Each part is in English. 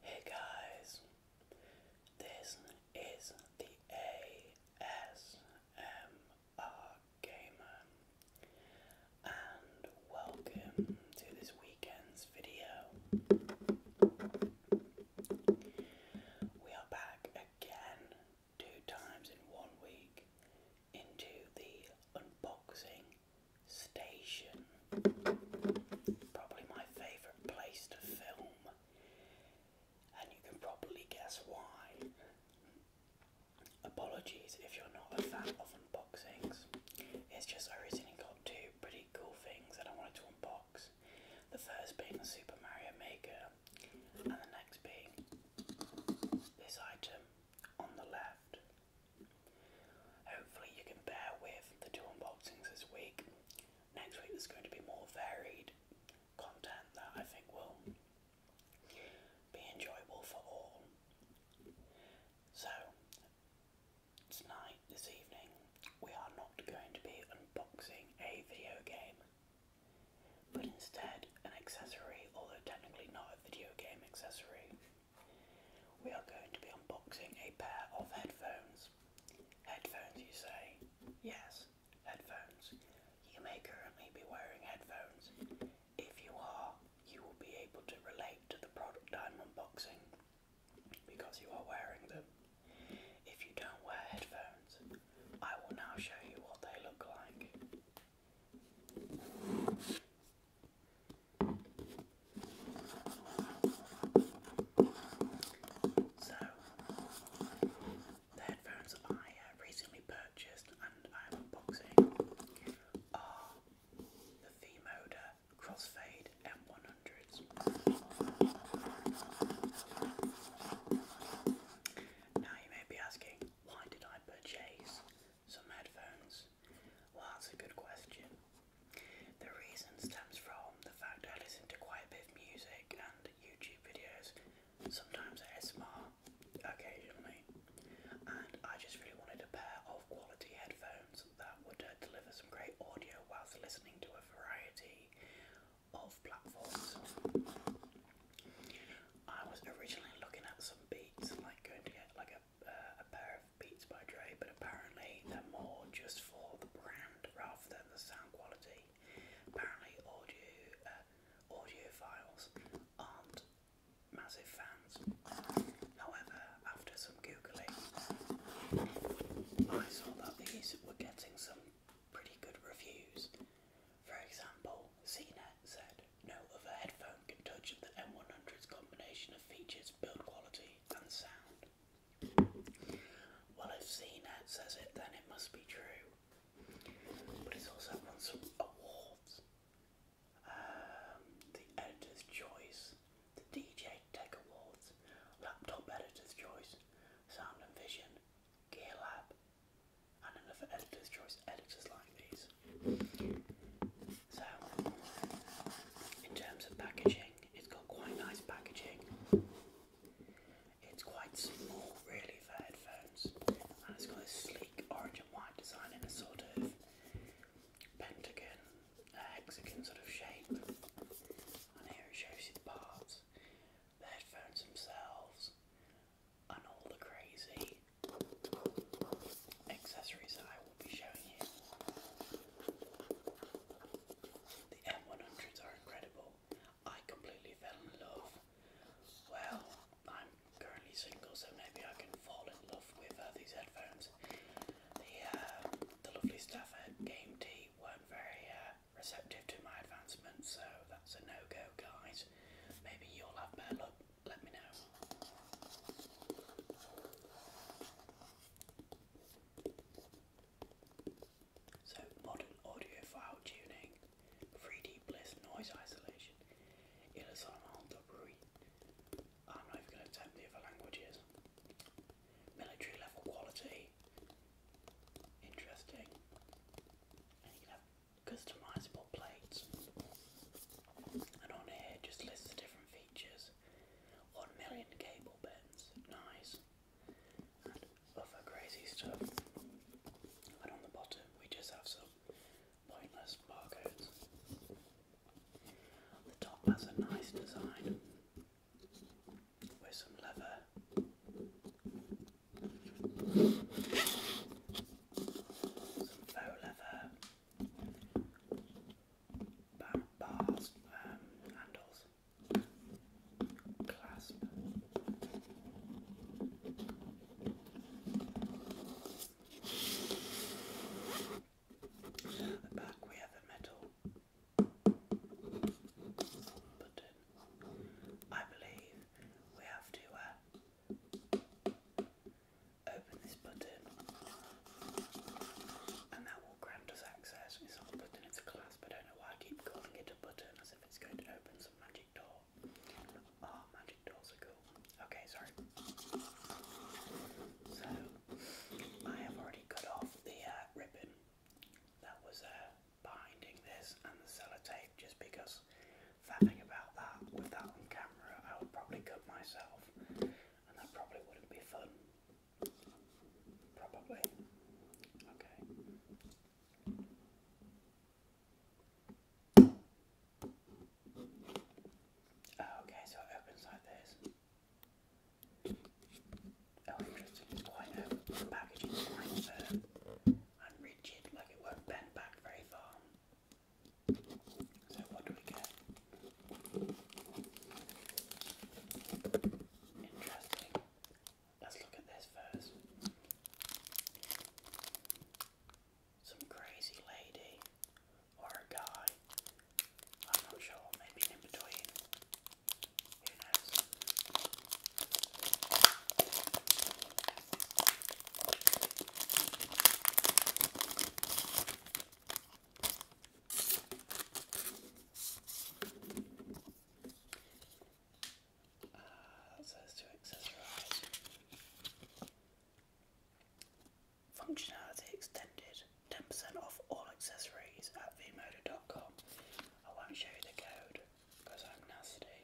Hey guys, this is the ASMR Gamer and welcome to this weekend's video. We are back again, two times in one week, into the unboxing station. Probably my favourite place to film, and you can probably guess why. Apologies if you're not a fan of unboxings. It's just I recently got two pretty cool things that I wanted to unbox. The first being the Super Mario Maker, and the next being this item on the left. Hopefully, you can bear with the two unboxings this week. Next week, there's going to be more varied content that I think will be enjoyable for all. So, tonight, this evening, we are not going to be unboxing a video game, but instead an accessory, although technically not a video game accessory. We are going to be unboxing a pair of headphones. Headphones, you say? Yes, headphones. You may currently be wearing headphones if you are, you will be able to relate to the product I'm unboxing because you are wearing them. If you don't wear headphones, I will now show you what they look like. So, the headphones I uh, recently purchased and I'm unboxing are the V-Moda Crossfade M100s. Now you may be asking, why did I purchase some headphones? Well, that's a good question. The reason stems from the fact I listen to quite a bit of music and YouTube videos, sometimes ASMR, occasionally, and I just really wanted a pair of quality headphones that would uh, deliver some great audio whilst listening to a variety of platforms. I was originally looking at some Beats, like going to get like a, uh, a pair of Beats by Dre, but apparently they're more just for the brand rather than the sound quality. Apparently, audio uh, audiophiles aren't massive fans. However, after some googling, I saw that these were getting some pretty good reviews. For example, CNET said, no other headphone can touch the M100's combination of features, build quality and sound. Well, if CNET says it, then it must be true. But it's also won some awards um, the Editor's Choice, the DJ Tech Awards, Laptop Editor's Choice, Sound and Vision, Gear Lab, and another Editor's Choice editors like these. So, in terms of packaging, it's got quite nice packaging. It's quite small, really, for headphones, and it's got a sleeve orange and white design in a sort of pentagon, hexagon sort of shape. And here it shows you the parts, the headphones themselves, and all the crazy accessories that I will be showing you. The M100s are incredible. I completely fell in love. Well, I'm currently single, so maybe I can fall in love with uh, these headphones. The, uh, the lovely staff at Game T weren't very uh, receptive to my advancement, so that's a no go, guys. Maybe you'll have better luck. Let me know. So, modern audiophile tuning 3D Bliss Noise Isolation, Illusion I'm not even going to attempt the other languages. Military level quality. Interesting. And you can have customizable plates. And on here just lists the different features. 1 million cable bends. Nice other crazy stuff. And on the bottom, we just have some pointless barcodes. The top has a nice design with some leather. Some faux leather bars, um, handles clasp. At the back we have a metal button. I believe we have to uh, open this button and that will grant us access. It's not a button, it's a clasp. I don't know why I keep calling it a button as if it's going to open some magic door. Oh, magic dolls are cool. Okay, sorry. So, I have already cut off the uh, ribbon that was uh, binding this and the sellotape just because faffing about that with that on camera, I would probably cut myself and that probably wouldn't be fun. Probably. Okay. Oh, okay, so it opens like this. Oh, interesting. It's quite open. The packaging is quite firm uh, and rigid, like it won't bend back very far. So, what do we get? Interesting. Let's look at this first. Some crazy lady or a guy. I'm not sure, maybe in between. Who knows? that uh, says to accessorize. Functionality extended. 10% off all accessories at vmoda.com. I won't show you the code because I'm nasty.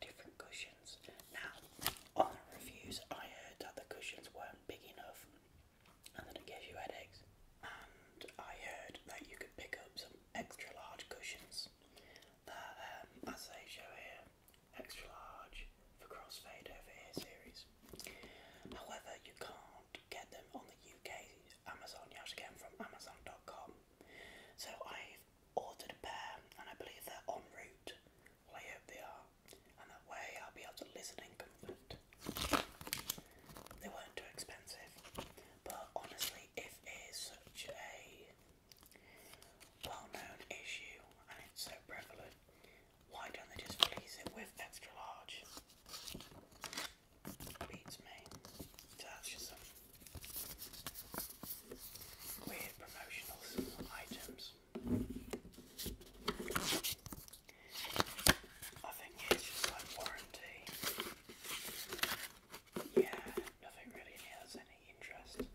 Different cushions. Now, on the reviews, I heard that the cushions weren't big enough and that it gives you headaches. I heard that you could pick up some extra large cushions that, as they show here, extra large for Crossfade Over Here series. However, you can't get them on the UK Amazon, you have to get them from Amazon.com. So I've ordered a pair and I believe they're en route. Well, I hope they are, and that way I'll be able to listen in comfort. They weren't too expensive, but honestly, if it's such a well-known issue and it's so prevalent, why don't they just release it with extra large? Beats me. that's just some weird promotional items. I think it's just like warranty. Yeah, nothing really here any interest.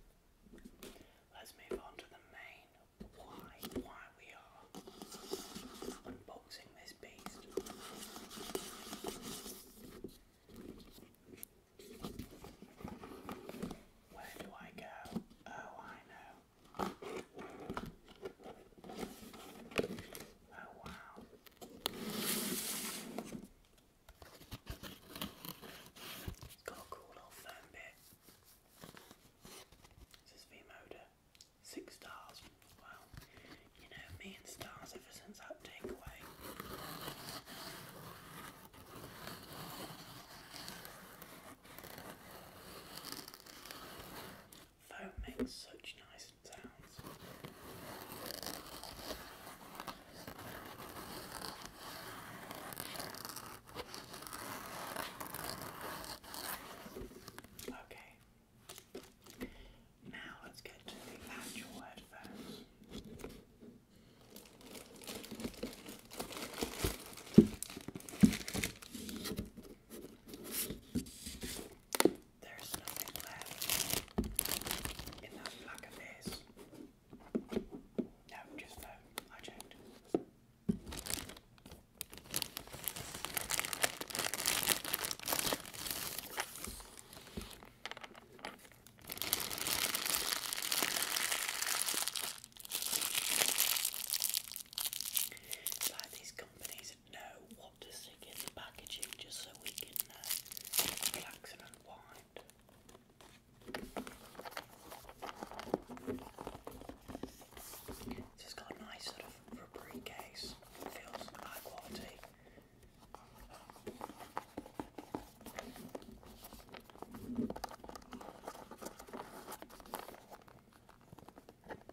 Let's move on to the main why why we are unboxing this beast. Where do I go? Oh I know. Oh wow. It's got a cool little foam bit. This is V-Motor. Six stars. Well, you know me and stars ever since that takeaway. Foam makes such nice sounds. Okay. Now let's get to the actual headphones. There's nothing left in that black of No, just no. I checked. like these companies know what to stick in the packaging just so we can uh, relax and unwind. This has got a nice sort of rubbery case, feels high quality.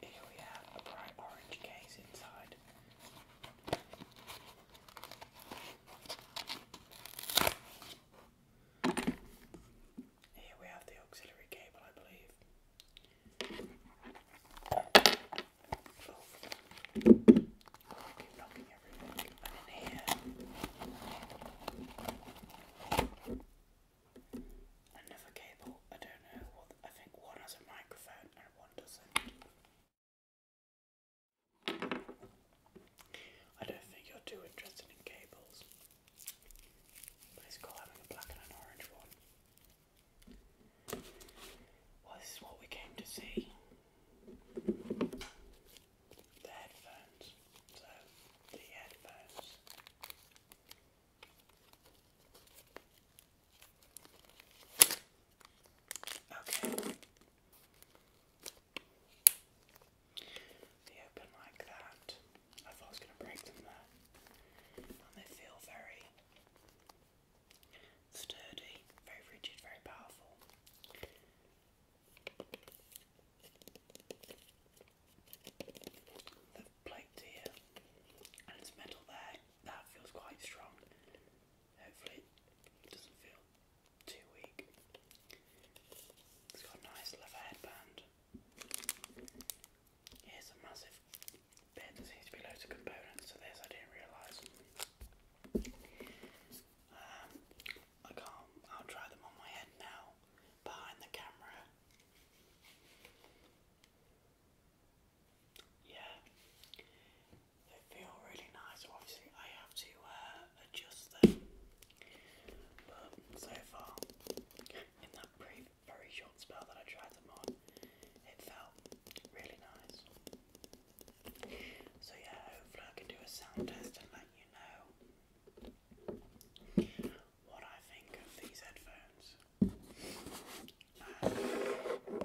Here we have a bright orange case inside. Here we have the auxiliary cable, I believe. Oh. I keep knocking everything. And in here, Another cable. I don't know I think one has a microphone and one doesn't. I don't think you're too interested in cables. But it's cool having a black and an orange one. Well, this is what we came to see the headphones. So, the headphones. Okay. They open like that. I thought I was going to break them there. And they feel very sturdy, very rigid, very powerful. The plate here and it's metal there, that feels quite strong. Hopefully it doesn't feel too weak. It's got a nice leather headband. Here's a massive there seems to be loads of components to this, I didn't realise. Um, I can't. Um, I'll try them on my head now, behind the camera. Yeah, they feel really nice. Obviously, I have to uh, adjust them, but so far, in that brief, very short spell that I tried them on, it felt really nice. So yeah, hopefully I can do a sound test and let you know what I think of these headphones. Um,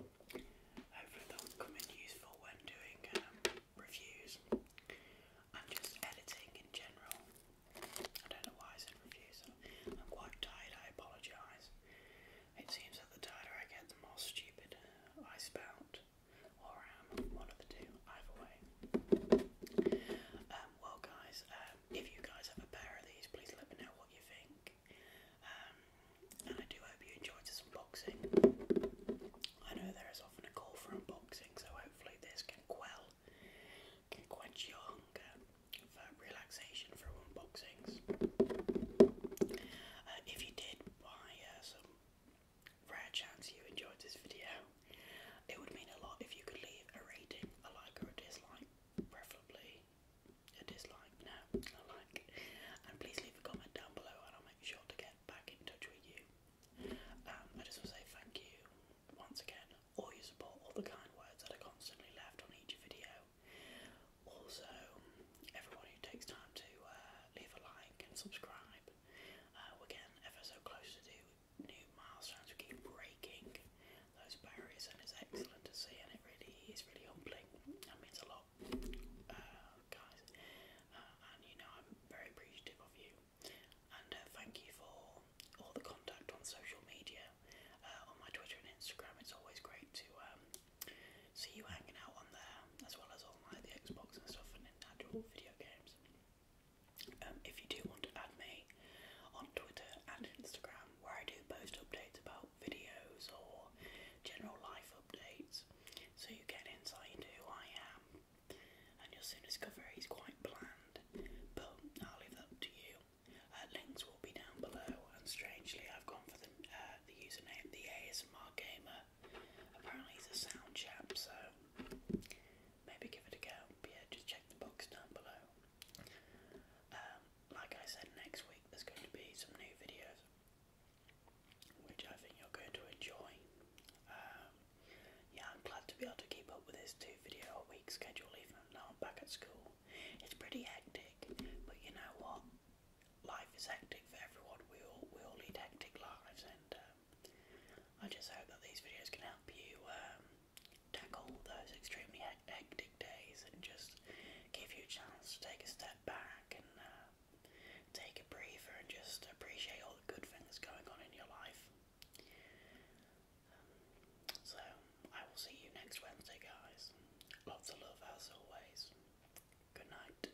hopefully they useful when doing um, reviews and just editing in general. I don't know why I said reviews. I'm quite tired, I apologise. It seems that the tighter I get, the more stupid I spout. Um, um, well, guys, um, if you guys have a pair of these, please let me know what you think. and I do hope you enjoyed this unboxing. I know there is often a call for unboxing, so hopefully this can quell, can quench your hunger for relaxation through unboxings. Uh, if you did buy uh, some rare chance you enjoyed this video. It would mean a lot if you could leave a rating, a like or a dislike, preferably a dislike, no, a like. And please leave a comment down below and I'll make sure to get back in touch with you. Um, I just want to say thank you once again, all your support, all the kind words that are constantly left on each video. Also, everyone who takes time to uh, leave a like and subscribe uh, ever so close to new, new milestones. We keep breaking those barriers, and it's excellent to see. And it really is really humbling. That means a lot, uh, guys. Uh, and you know, I'm very appreciative of you. And uh, thank you for all the contact on social media, on my Twitter and Instagram. It's always great to um, see you hanging out on there, as well as on like the Xbox and stuff natural video games. Um, if you do want to add me on Twitter and Instagram, where I do post updates about videos or general life updates, so you get insight into who I am, and you'll soon discover he's quite bland. But I'll leave that up to you. Uh, links will be down below, and strangely, I've gone for the uh, username the ASMR Gamer apparently he's a sound chap, so maybe give it a go. But yeah, just check the box down below. Um, like I said, next week there's going to be some new videos, which I think you're going to enjoy. Um, yeah, I'm glad to be able to keep up with this two video a week schedule even though I'm back at school. It's pretty hectic, but you know what? life is hectic for everyone. We all we all lead hectic lives, and um, I just hope that these videos can help you um, tackle those extremely hectic days and just give you a chance to take a step back and uh, take a breather and just appreciate all the good things going on in your life. so I will see you next Wednesday, guys. Lots of love as always. Good night.